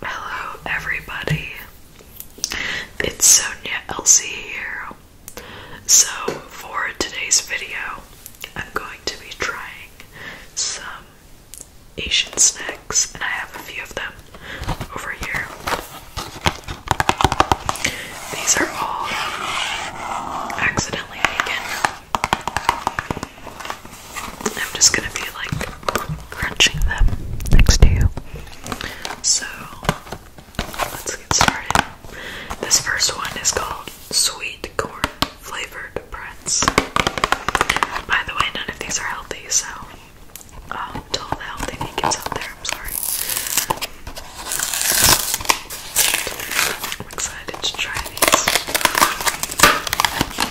Hello, everybody. It's Sonia Elsie here. So, for today's video, I'm going to be trying some Asian snacks, and I have a few of them over here. These are all accidentally taken I'm just gonna be like crunching them next to you. So let's get started. This first one is called Sweet Corn Flavored Pretz. By the way, none of these are healthy, so um, to all the healthy vegans out there, I'm sorry. I'm excited to try these.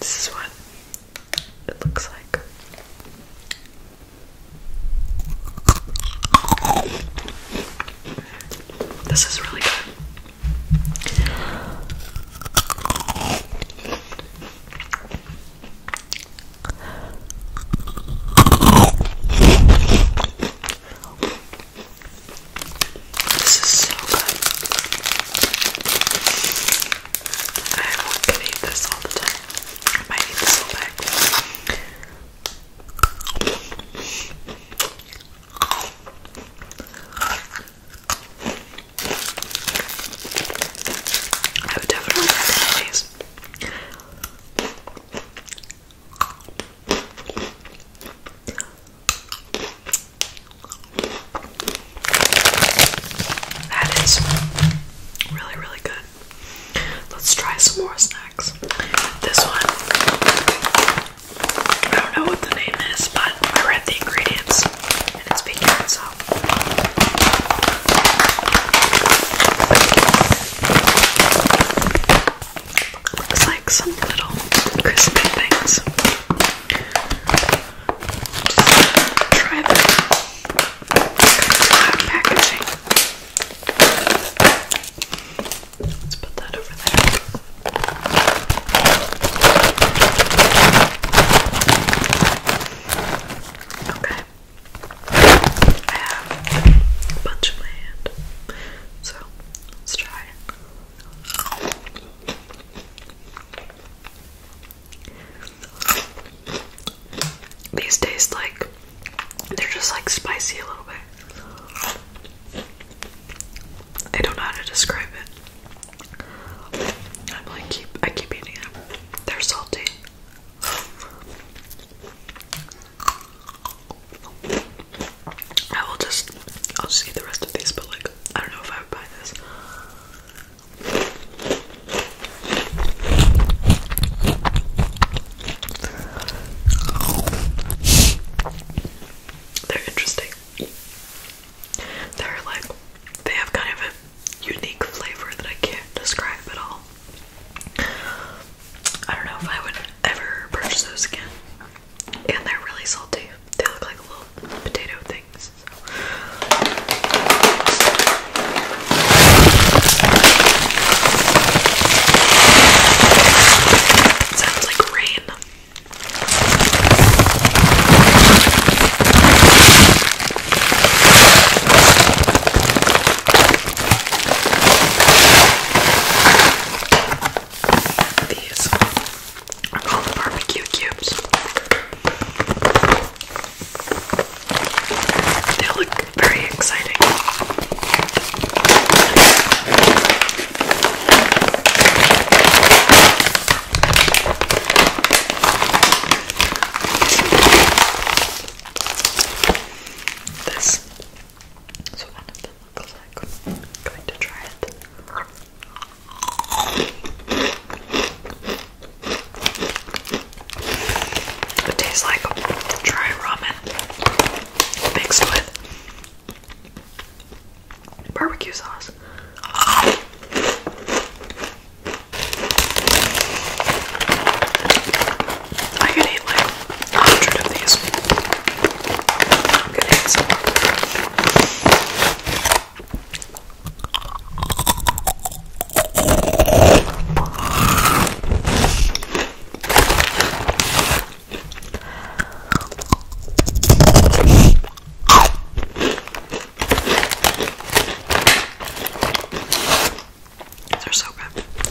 This is what it looks like. This is really good. This is so good. I want to eat this all the time. I might eat this whole bag. I would definitely have these. That is really, really good. Let's try some more snacks. This one, I don't know what the name is, but I read the ingredients and it's big so. Looks like some little crispy things. try them. packaging. Let's put that over there. Okay. I have a bunch in my hand. So let's try these taste like they're just like spicy a little bit. I don't know how to describe it. I'm like keep I keep eating them. They're salty. I will just, I'll just the rest of these, but like, I don't know if I would buy this. They're interesting. They're like, they have kind of a unique flavor that I can't describe at all. I don't know if I would ever purchase those again and they're really salty. They look like little potato things. So. Sounds like rain. These are called barbecue cubes. They look very exciting. This it. tastes like dry ramen mixed with barbecue sauce. I could eat like a hundred of these. i are so good.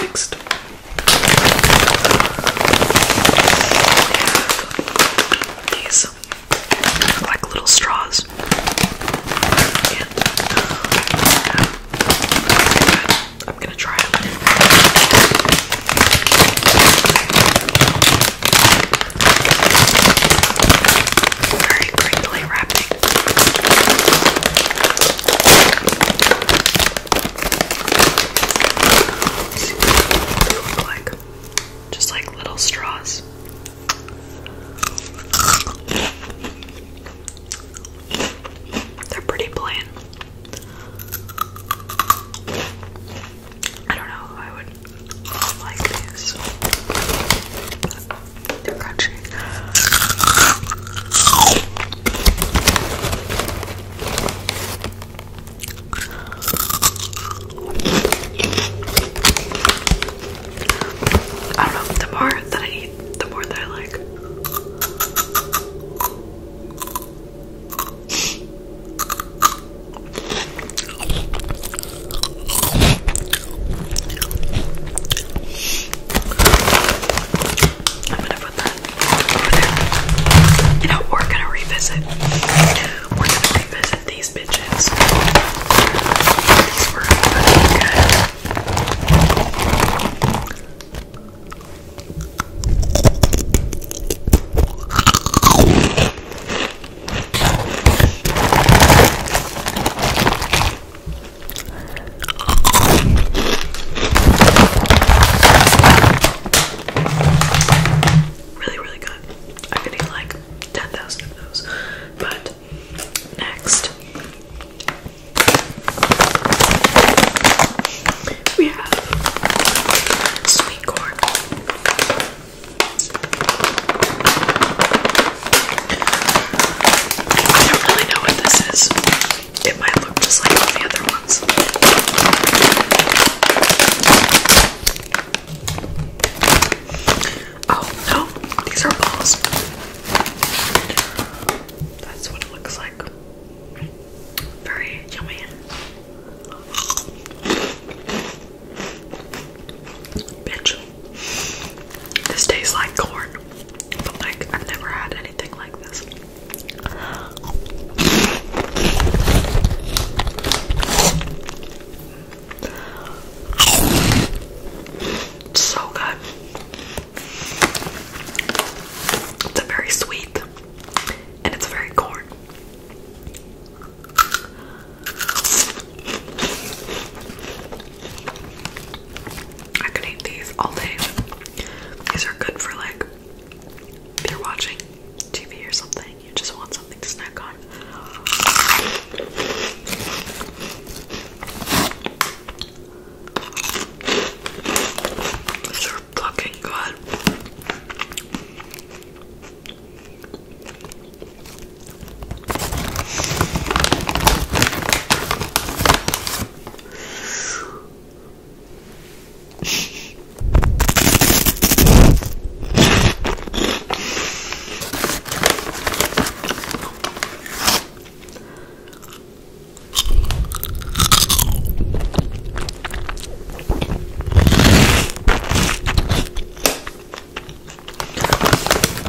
Next. These are like little straws. Uh, I'm gonna try it. Very crinkly wrapping. Look like just like little straws. They're pretty plain. I don't know I would like these. They're crunchy. I don't know, the more that I eat, the more that I like. I'm gonna put that You know, we're gonna revisit. We're gonna revisit these bitches. Really, really good. I could eat like 10,000 of those. But next, we have sweet corn. I don't really know what this is. It might look just like the other ones. Oh no, these are balls. That's what it looks like. Very yummy. Bitch. This tastes like corn, like I've never had anything like this. so good. It's very sweet and it's very corn. I can eat these all day. These are good for like if you're watching TV or something, you just want something to snack on. These are fucking good.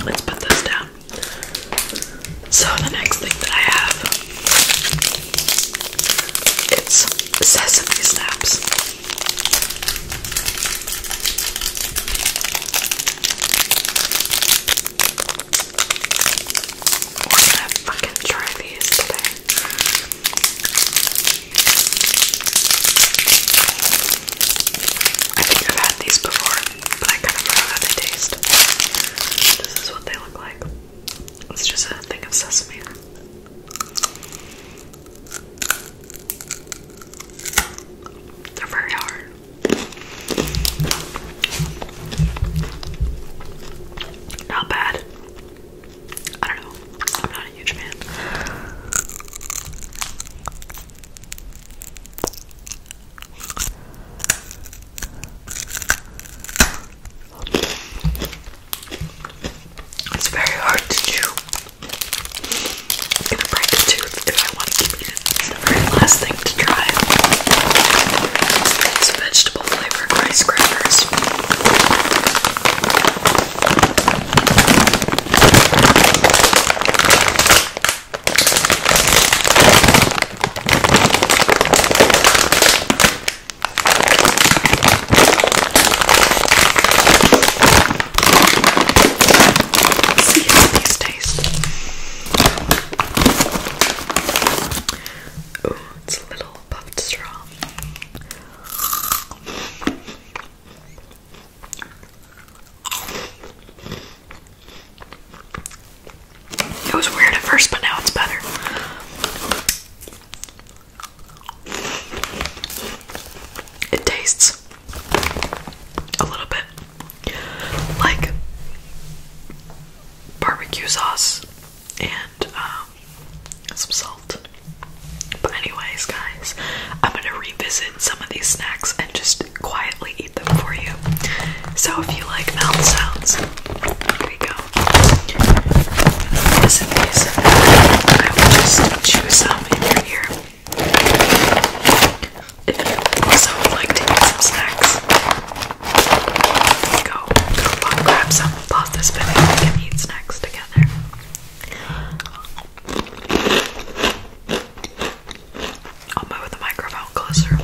Let's put this down. So the next thing that I have it's sesame snaps. We're gonna fucking try these today. I think I've had these before but I kind of forgot how they taste. This is what they look like. It's just a thing of sesame. They're very hard. Not bad. I don't know. I'm not a huge fan. It's very hard to chew. I'm gonna break a tooth if I want to keep it. It's the very last thing to try. It's vegetable flavor rice crackers. See how these taste. Oh, it's a little puffed straw. It was weird at first, but now it's better. It tastes a little bit like barbecue sauce and um, some salt. But anyways, guys, I'm gonna revisit some of these snacks and just quietly eat them for you. So if you like mouth sounds, here we go. Just in case, I will just chew some in your ear. If you also like to some snacks, go, go grab some, pause this video, and eat snacks together. I'll move the microphone closer.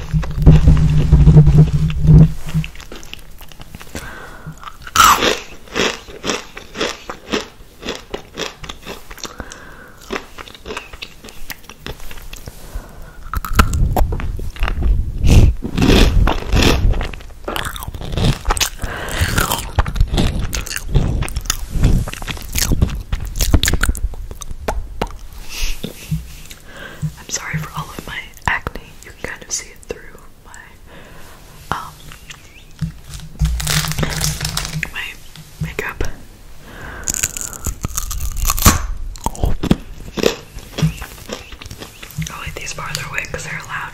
I'm sorry for all of my acne. You can kind of see it through my um my makeup. I'll leave these farther away because they're loud.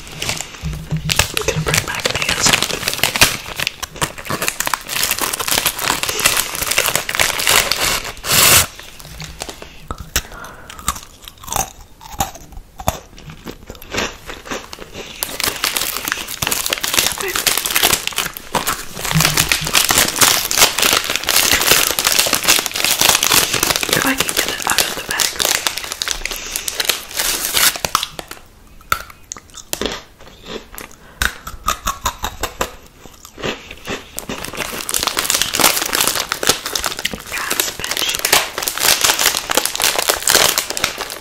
I'm gonna bring back these. If I can get it out of the bag. That's special.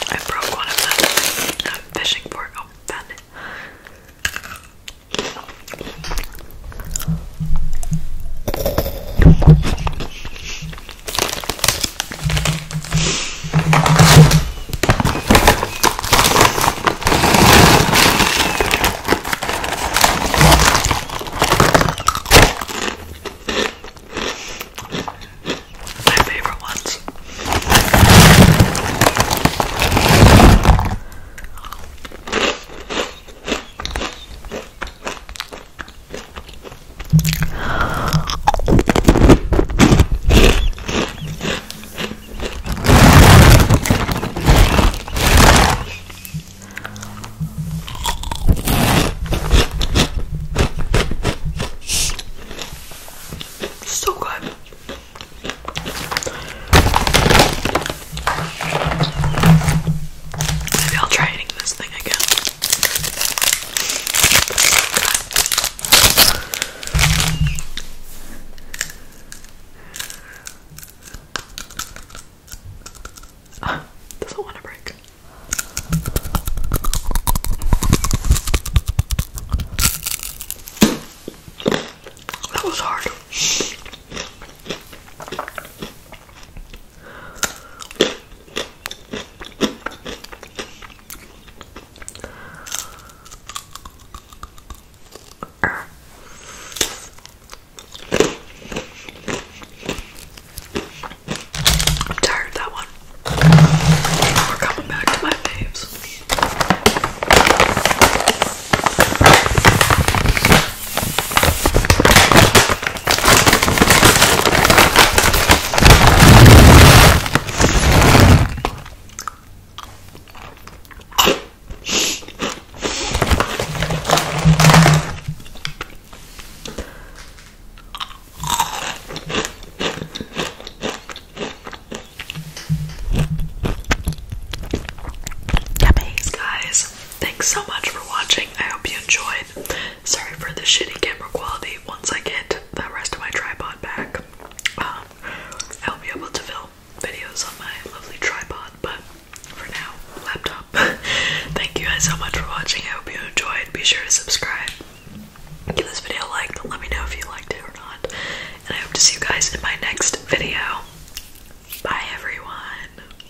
I broke one of them. I'm fishing for it. Oh, found it. My favorite ones. So good. Maybe I'll try eating this thing again. Oh, doesn't want to break. That was hard. I'm tired of that one. We're coming back to my faves. Yummies, guys. Thanks so much for watching. I hope you enjoyed. Sorry for the shitty camera quality once I get the rest of my tripod back. Um, I'll be able to film videos on my lovely tripod, but for now, laptop. Thank you guys so much for watching. I hope you enjoyed. Be sure to subscribe. Give this video a like. Let me know if you liked it or not. And I hope to see you guys in my next video. Bye, everyone.